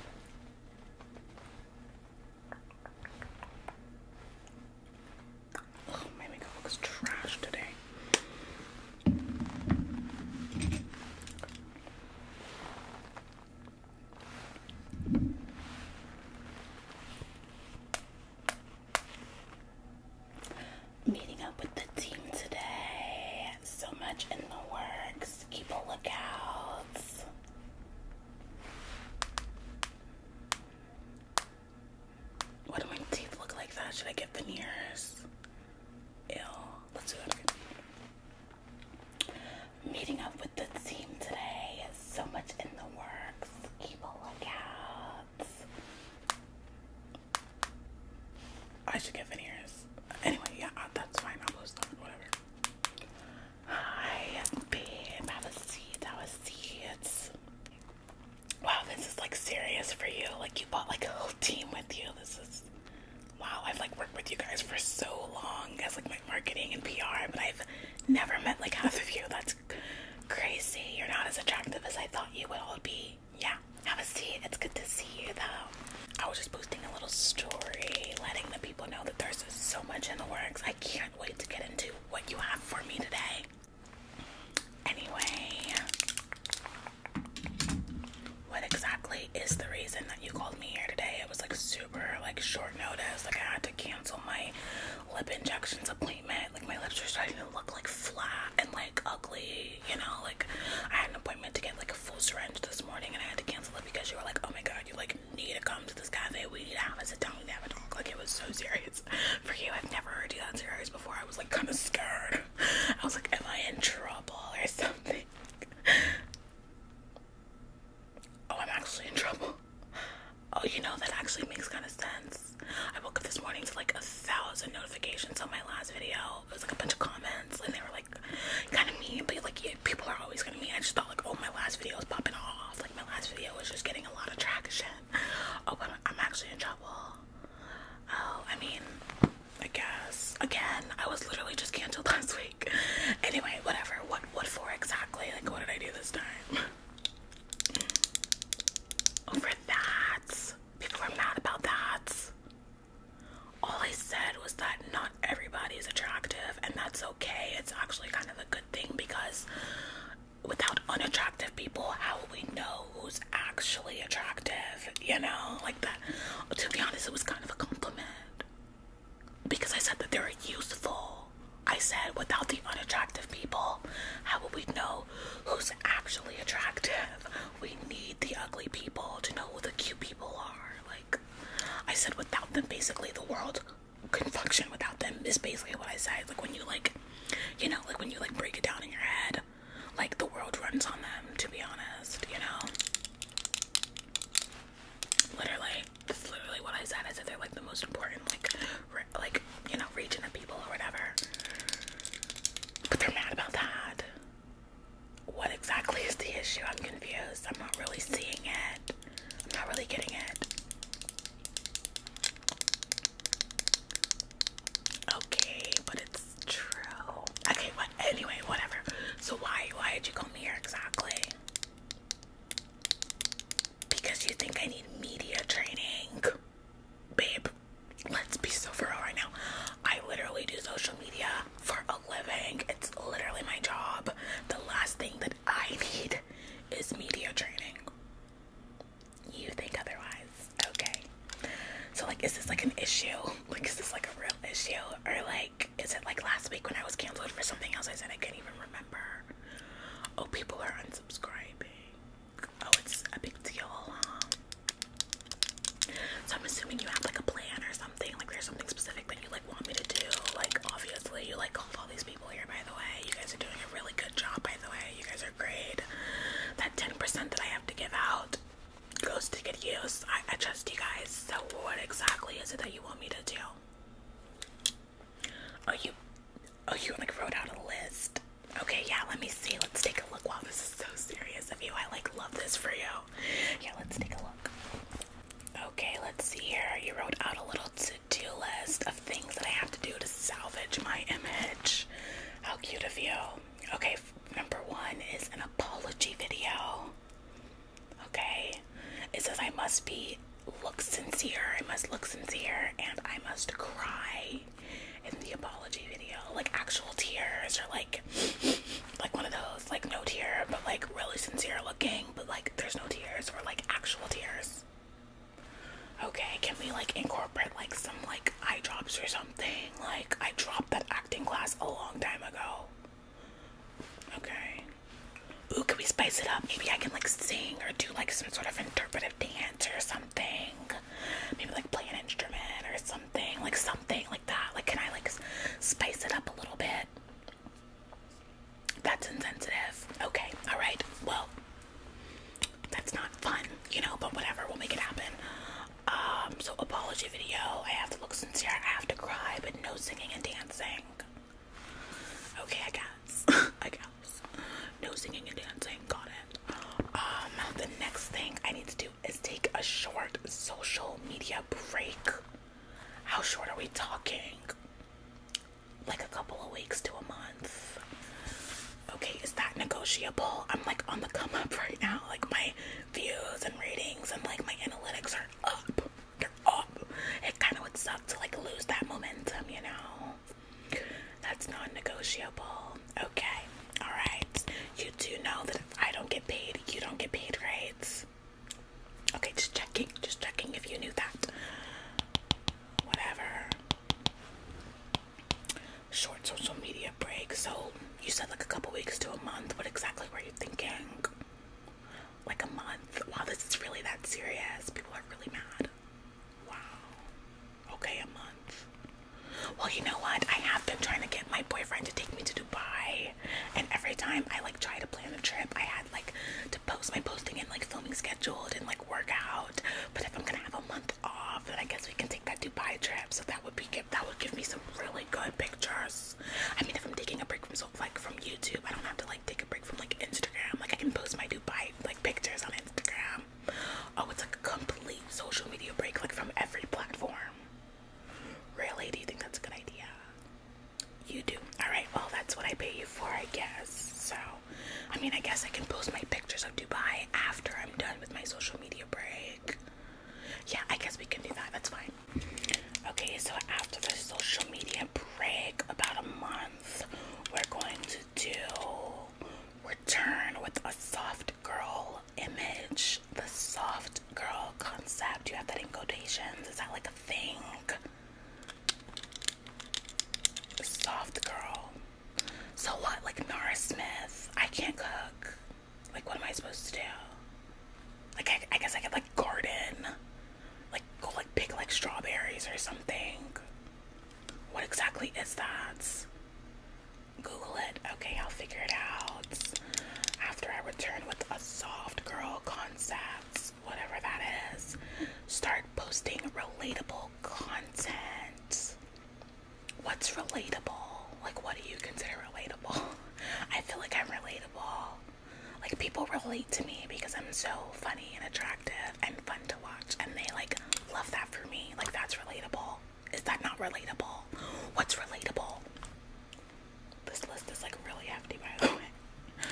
Ugh, my makeup looks trash today. Meeting up with the team today. So much in the works. Keep a lookout. What do my teeth look like that? Should I get veneers? Ew. Meeting up with the team today. So much in the works. Keep a lookout. I should get veneers. Anyway, yeah, uh, that's fine. I'll post them. Whatever. Hi, babe. Have a seat. Have a seat. Wow, this is like serious for you. Like you bought like a whole team with you. This is wow. I've like worked with you guys for so long as like my marketing and PR, but I've never met like half of you. That's crazy. You're not as attractive as I thought you would all be. Yeah, have a seat. It's good to see you though. I was just posting a little story, letting the people know that there's so much in the works. I can't wait to get into what you have for me today. Anyway, what exactly is the reason that you called me here today? It was like super like short notice. Like I had to cancel my lip injections appointment. Like my lips are starting to look like flat and like ugly, you know, like I had an appointment to get like full syringe this morning and I had to cancel it because you were like, oh my god, you like need to come to this cafe. We need to have a sit down, we have a talk. Like it was so serious for you. I've never heard you that serious before. I was like kind of scared. I was like, am I in trouble or something? Oh, I'm actually in trouble. Oh, you know that actually makes kind of sense. I woke up this morning to like a thousand notifications on my last video, it was like a bunch of comments and they were like kind of mean, but like people are always gonna mean. I just thought like, oh, my last video is popping off. Like my last video was just getting a lot of traction. Oh, I'm actually in trouble. Oh, I mean, I guess again, I was literally just canceled last week. Anyway, whatever. What what for exactly? Like, what did I do this time? Over oh, that, people are mad about that all I said was that not everybody is attractive, and that's okay. It's actually kind of a good thing because without unattractive people, how will we know who's actually attractive? You know, like that. To be honest, it was kind of a compliment because I said that they're useful. I said, without the unattractive people, how will we know who's actually attractive? We need the ugly people to know who the cute people are. Like, I said without them basically the world can not function without them is basically what I said. Like when you like you know, like when you like break it down in your head, like the world runs on them, to be honest, you know. Literally, that's literally what I said. I said they're like the most important, like, like you know, region of people or whatever. But they're mad about that. What exactly is the issue? I'm confused. I'm not really seeing it. I'm not really getting it. Okay, but it's true. Okay, what? Anyway, whatever. So why why did you come here exactly? Because you think I need media training, babe. Let's be so real right now. I literally do social media for a living. It's literally my job. The last thing that I need is media training. You think otherwise. Okay. So like is this like an issue? Like is this like a real issue? Or like is it like last week when I was cancelled for something else I said I can not even remember? Oh people are unsubscribing. Oh it's a big deal, huh? Um, so I'm assuming you have like a plan or something. Like there's something specific that you like want me to do. Like obviously you like called all these people here by the way. You guys are doing a really good job by the way. You guys are great. That 10% that I have to give out goes to good use. I, I trust you guys. So what exactly is it that you want me to do? Oh you oh you like wrote out a list. Okay, yeah, let me see. Let's take a look. Wow, this is so serious of you. I like love this for you. Yeah, let's take a look. Okay, let's see here. You wrote out a little to-do list of things that I have to do to salvage my image. How cute of you. Okay, number one is an apology video. Okay, it says I must be look sincere. I must look sincere and I must cry in the apology video. Like actual tears or like like one of those like no tear but like really sincere looking but like there's no tears or like actual tears okay can we like incorporate like some like eye drops or something like i dropped that acting class a long time ago okay ooh can we spice it up maybe i can like sing or do like some sort of interpretive dance or something maybe like play an instrument or so something, like something like that. Like, can I like spice it up a little bit? That's insensitive. Okay, all right. Well, that's not fun, you know, but whatever, we'll make it happen. Um, so apology video. I have to look sincere. I have to cry, but no singing and dancing. Okay, I guess. I guess. No singing and dancing. Got it. Um, the next thing I need to do is take a short social media break. How short are we talking? Like a couple of weeks to a month. Okay, is that negotiable? I'm like on the come up right now. Like my views and ratings and like my analytics are up. are up. It kind of would suck to like lose that momentum, you know? That's non negotiable. Okay. All right. You do know that I don't get paid, you don't get paid, grades. Okay, just checking. Just checking if you knew that. Whatever. Short social media break. So you said like a couple weeks to a month. What exactly were you thinking? Like a month. Wow, this is really that serious. People are really mad. Wow. Okay, a month. Well, you know what? I have been trying to get my boyfriend to take me to Dubai, and every time I like try to plan a trip, I had like to post my posting and like filming scheduled and like work out. But if I'm gonna have a month off, then I guess we can take that Dubai trip. So that would be give that would give me some really good pictures. I mean, if I'm taking a break from so like from YouTube, I don't have to like take a break from like Instagram. Like I can post my Dubai like pictures on Instagram. Oh, it's like a complete social media break, like from every platform. Really? Do you think that's a good idea? You do. Alright, well, that's what I pay you for, I guess. So, I mean, I guess I can post my pictures of Dubai after I'm done with my social media break. Yeah, I guess we can do that. That's fine. Okay, so after the social media break, about a month, we're going to do return with a soft girl image, the soft girl concept. You have that in quotations. Is that like a thing? Soft girl. So what? Like Nara Smith. I can't cook. Like what am I supposed to do? Like I, I guess I could like garden. Like go like pick like strawberries or something. What exactly is that? Google it. Okay, I'll figure it out after I return with a soft girl concepts, whatever that is. Start posting relatable content. What's relatable? Like, what do you consider relatable? I feel like I'm relatable. Like, people relate to me because I'm so funny and attractive and fun to watch, and they like love that for me. Like, that's relatable. Is that not relatable? What's relatable? This list is like really hefty, by the way.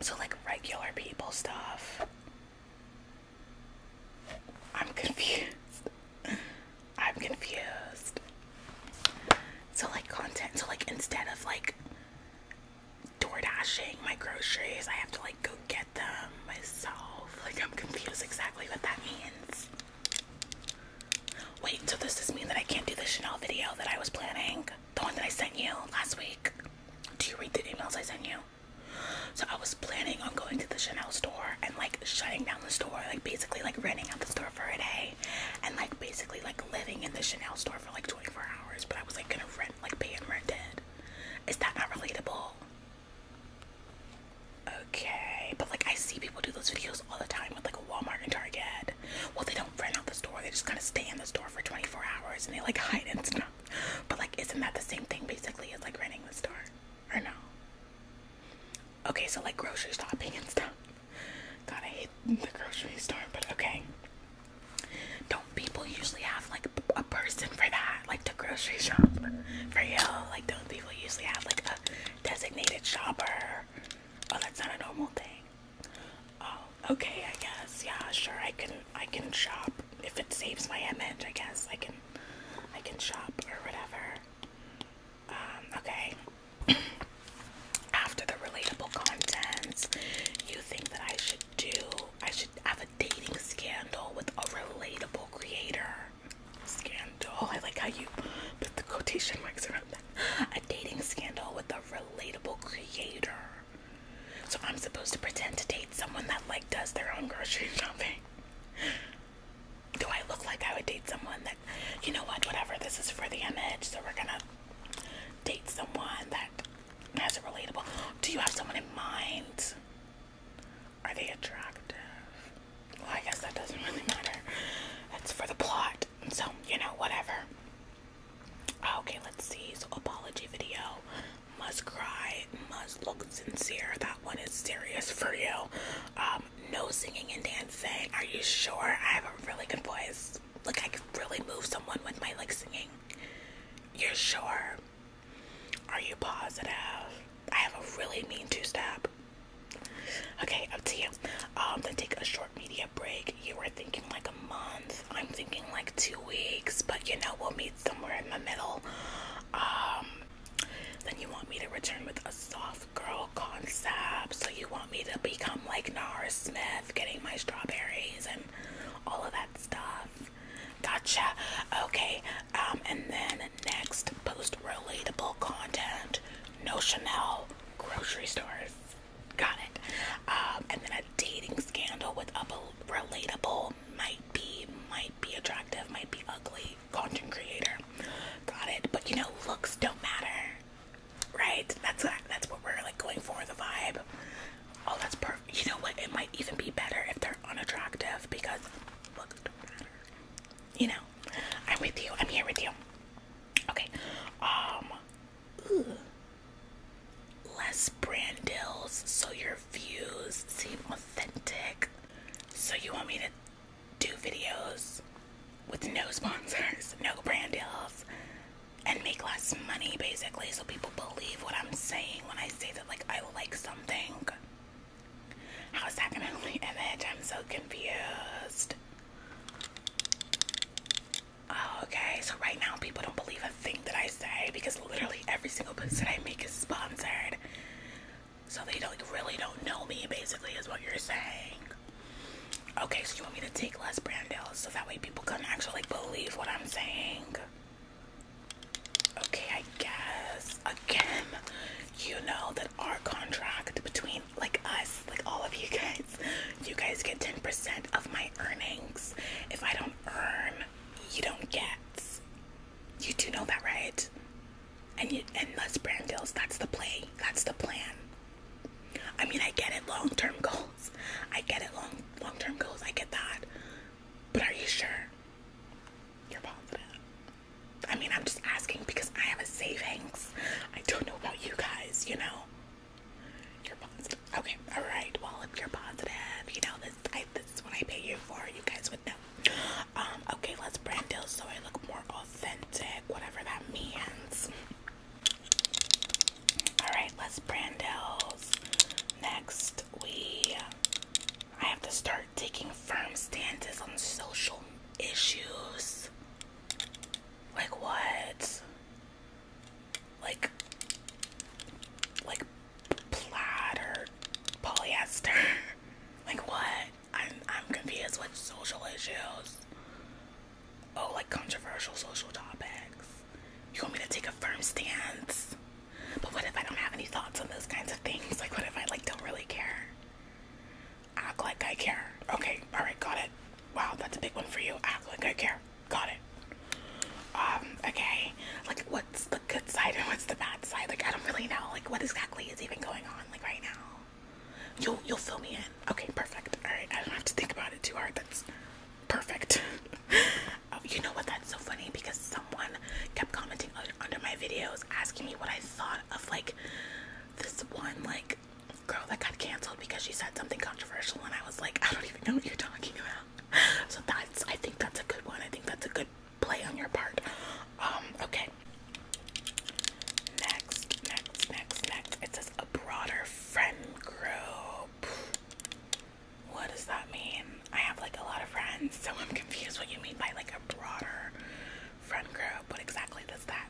So, like regular people stuff. I'm confused. I'm confused. So, like content. So, like instead of like door dashing my groceries, I have to like go get them myself. Like, I'm confused exactly what that means. Wait, so does this mean that I can't do the Chanel video that I was planning? The one that I sent you last week? Do you read the emails I sent you? So I was planning on going to the Chanel store and like shutting down the store, like basically like renting out the store for a day and like basically like living in the Chanel store for like 24 hours, but I was like gonna rent, like pay and rent Is that not relatable? Okay, but like I see people do those videos all the time with like a Walmart and Target. Well, they don't rent out the store; they just kind of stay in the store for 24 hours and they like hide and stuff. But like, isn't that the same thing basically as like renting the store, or no? Okay, so like grocery shopping and stuff. Gotta hate the grocery store, but okay. Don't people usually have like a person for that, like to grocery shop for you. Like don't people usually have like a designated shopper. Oh, that's not a normal thing. Oh, okay, I guess. Yeah, sure. I can I can shop if it saves my image. I guess I can I can shop or whatever. Um, okay. After the relatable content, you think that I should do I should should have a dating scandal with a relatable creator. Scandal. I like how you put the quotation marks around that. A dating scandal with a relatable creator. So I'm supposed to pretend to date someone that like does their own grocery shopping. Do I look like I would date someone that, you know what, whatever, this is for the image, so we're gonna date someone that has a relatable. Do you have someone in mind? Are they attractive? Well, I guess that doesn't really matter. That's for the plot. So, you know, whatever. Ah, okay, let's see. So, apology video. Must cry. Must look sincere. That one is serious for you. Um, no singing and dancing. Are you sure? I have a really good voice. Like, I can really move someone with my, like, singing. You're sure? Are you positive? I have a really mean two step. Okay, up to you. Um, then take a short media break. You were thinking like a month. I'm thinking like two weeks, but you know, we'll meet somewhere in the middle. Um, then you want me to return with a soft girl concept. So you want me to become like Nara Smith, getting my strawberries and all of that stuff. Gotcha. Okay. Um, and then next, post relatable content. No Chanel grocery stores. Got it. Um, and then a dating scandal with a relatable might be might be attractive, might be ugly content creator. Got it. But you know, looks don't matter, right? That's that's what we're like going for the vibe. Oh, that's perfect. You know what? It might even be better if they're unattractive because look, don't You know, I'm with you. I'm here with you. Okay. Um. Less brand deals, so your views seem authentic. So you want me to do videos with no sponsors, no brand deals, and make less money basically, so people believe what I'm saying when I say like I like something. How is that gonna help my I'm so confused. Oh, okay, so right now people don't believe a thing that I say because literally every single post that I make is sponsored. So they don't really don't know me basically is what you're saying. Okay, so you want me to take less brand deals so that way people can actually believe what I'm saying. Okay, I guess again, you know that our contract between like us, like all of you guys, you guys get 10% of my earnings. If I don't earn, you don't get. You do know that, right? And you and Les Brandills, that's the play. That's the plan. I mean I get it long term goals. I get it long long term goals. I get that. But are you sure? You're positive. I mean, I'm just asking because I have a savings. I don't know about you guys, you know? You're positive. Okay, alright. Well, if you're positive, you know, this, this is what I pay you for. You guys would know. Um, okay, let's brand deal so I look more authentic, whatever that means. Alright, let's Brandel's. Next, we. I have to start taking firm stances on social issues. Like what? Like. Like plaid polyester? like what? I'm, I'm confused with social issues. Oh, like controversial social topics. You want me to take a firm stance? But what if I don't have any thoughts on those kinds of things? Like, what if I like don't really care? Act like I care. Okay, all right, got it. Wow, that's a big one for you. Act like I care. Got it. Um, okay. Like, what's the good side and what's the bad side? Like, I don't really know. Like, what exactly is even going on? Like right now. You'll you'll fill me in. Okay, perfect. All right, I don't have to think about it too hard. That's perfect. Oh, you know what? That's so funny because someone kept commenting under my videos asking me what I thought of like this one like girl that got canceled because she said something controversial, and I was like, I don't even know what you're talking about. So that's I think that's a good one. I think that's a good play on your part. Um, okay. Next, next, next, next. It says a broader friend group. What does that mean? I have like a lot of friends, so I'm confused what you mean by like a broader friend group. What exactly does that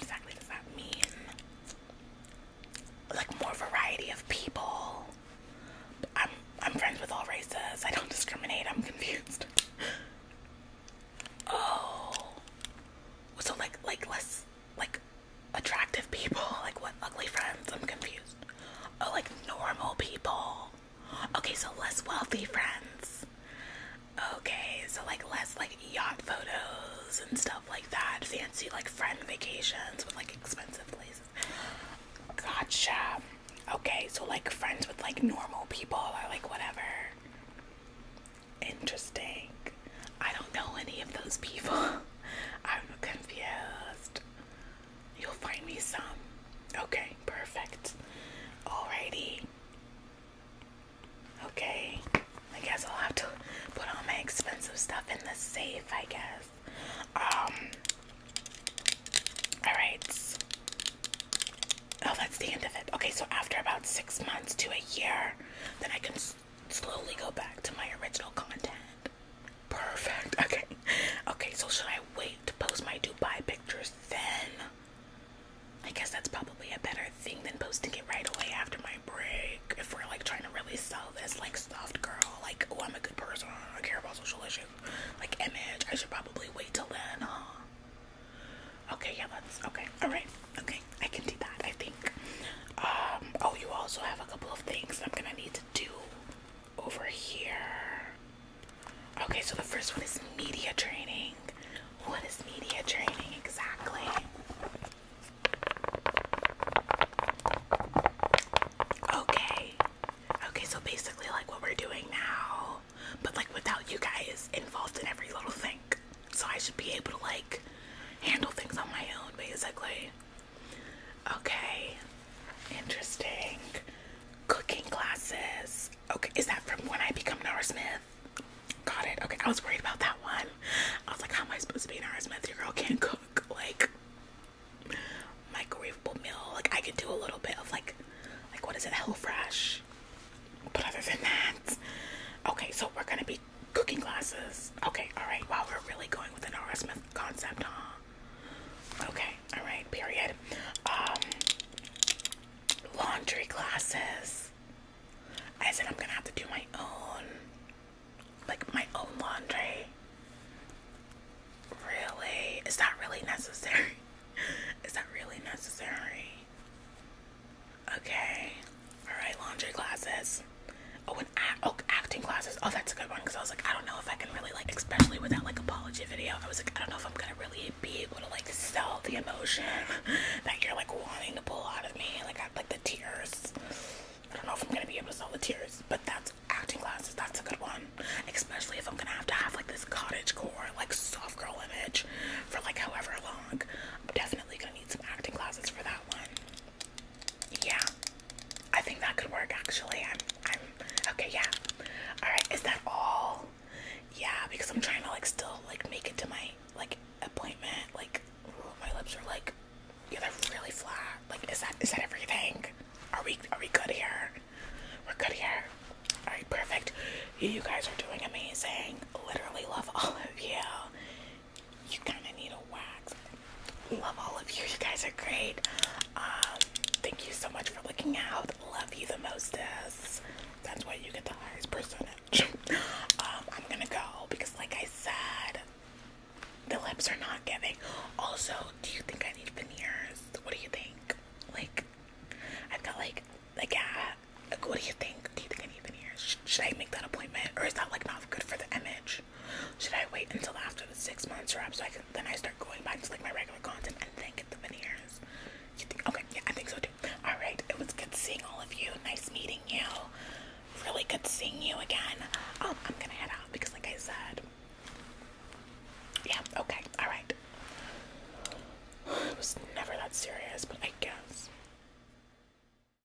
exactly does that mean? Like more variety of people. I'm I'm friends with all races. I don't discriminate. I'm confused. oh. So like like less like attractive people? Like what ugly friends? I'm confused. Oh, like normal people. Okay, so less wealthy friends. Okay, so like less like yacht photos and stuff like that. Fancy like friend vacations with like expensive places. Gotcha. Okay, so like friends with like normal people or like whatever. Interesting. I don't know any of those people. I'm confused. You'll find me some. Okay, perfect. Alrighty. Okay, I guess I'll have to put all my expensive stuff in the safe, I guess. Um, alright. Oh, that's the end of it. Okay, so after about six months to a year, then I can slowly go back to my original content. Perfect. Okay. Okay, so should I wait to post my Dubai pictures then? I guess that's probably a better thing than posting it right away after my break. If we're like trying to really sell this like soft girl, like oh I'm a good person, I care about social issues, like image, I should probably wait till then, Okay, yeah, that's okay. Alright, okay, I can do that, I think. Um, oh, you also have a couple of things I'm gonna need to do over here. Okay, so the first one is media training. What is media training exactly? Okay. Okay, so basically, like what we're doing now, but like without you guys involved in every little thing. So I should be able to like handle things on my own, basically. Okay, interesting. Cooking classes. Okay, is that from when I become Nora Smith? Got it. Okay, I was worried about that one. I was like, how am I supposed to be Nora Smith? Your girl can't cook like microwavable meal. Like I could do a little bit of like, like what is it? HelloFresh. But other than that, okay. So we're gonna be cooking classes. Okay, all right. Wow, we're really going with an R. Smith concept, huh? Okay, all right. Period. Um, laundry classes. I said I'm gonna have to do my own, like my own laundry. Really? Is that really necessary? Is that really necessary? Okay. All right, laundry classes. Oh, oh, acting classes. Oh, that's a good one because I was like, I don't know if I can really like, especially with that like apology video. I was like, I don't know if I'm gonna really be able to like sell the emotion that you're like wanting to pull out of me. Like, I, like the tears. I don't know if I'm gonna be able to sell the tears, but that's acting classes. That's a good one, especially if I'm gonna have to have like this cottage core, like soft girl image for like however long. I'm definitely gonna need some acting classes for that one. Yeah, I think that could work actually. I'm, I'm okay. Yeah. All right. Is that all? Yeah, because I'm trying to like still like make it to my like appointment. Like my lips are like yeah, they're really flat. Like is that is that everything? Are we are we good here? We're good here. All right, perfect. You guys are doing amazing. Literally love all of you you kind of need a wax. Love all of you. You guys are great. Um, thank you so much for looking out. Love you the mostest. That's why you get the highest percentage. Um, I'm gonna go because, like I said, the lips are not giving. Also, do you think I need veneers? What do you think? Like, I've got like a gap. Like, what do you think? Do you think I need veneers? should I make that appointment, or is that like not good for the image? Should I wait until after the six months are up so I can then I start going back to like my regular content and then get the veneers? You think okay, yeah, I think so too. Alright, it was good seeing all of you. Nice meeting you. Really good seeing you again. Oh, I'm gonna head out because like I said. Yeah, okay, alright. It was never that serious, but I guess.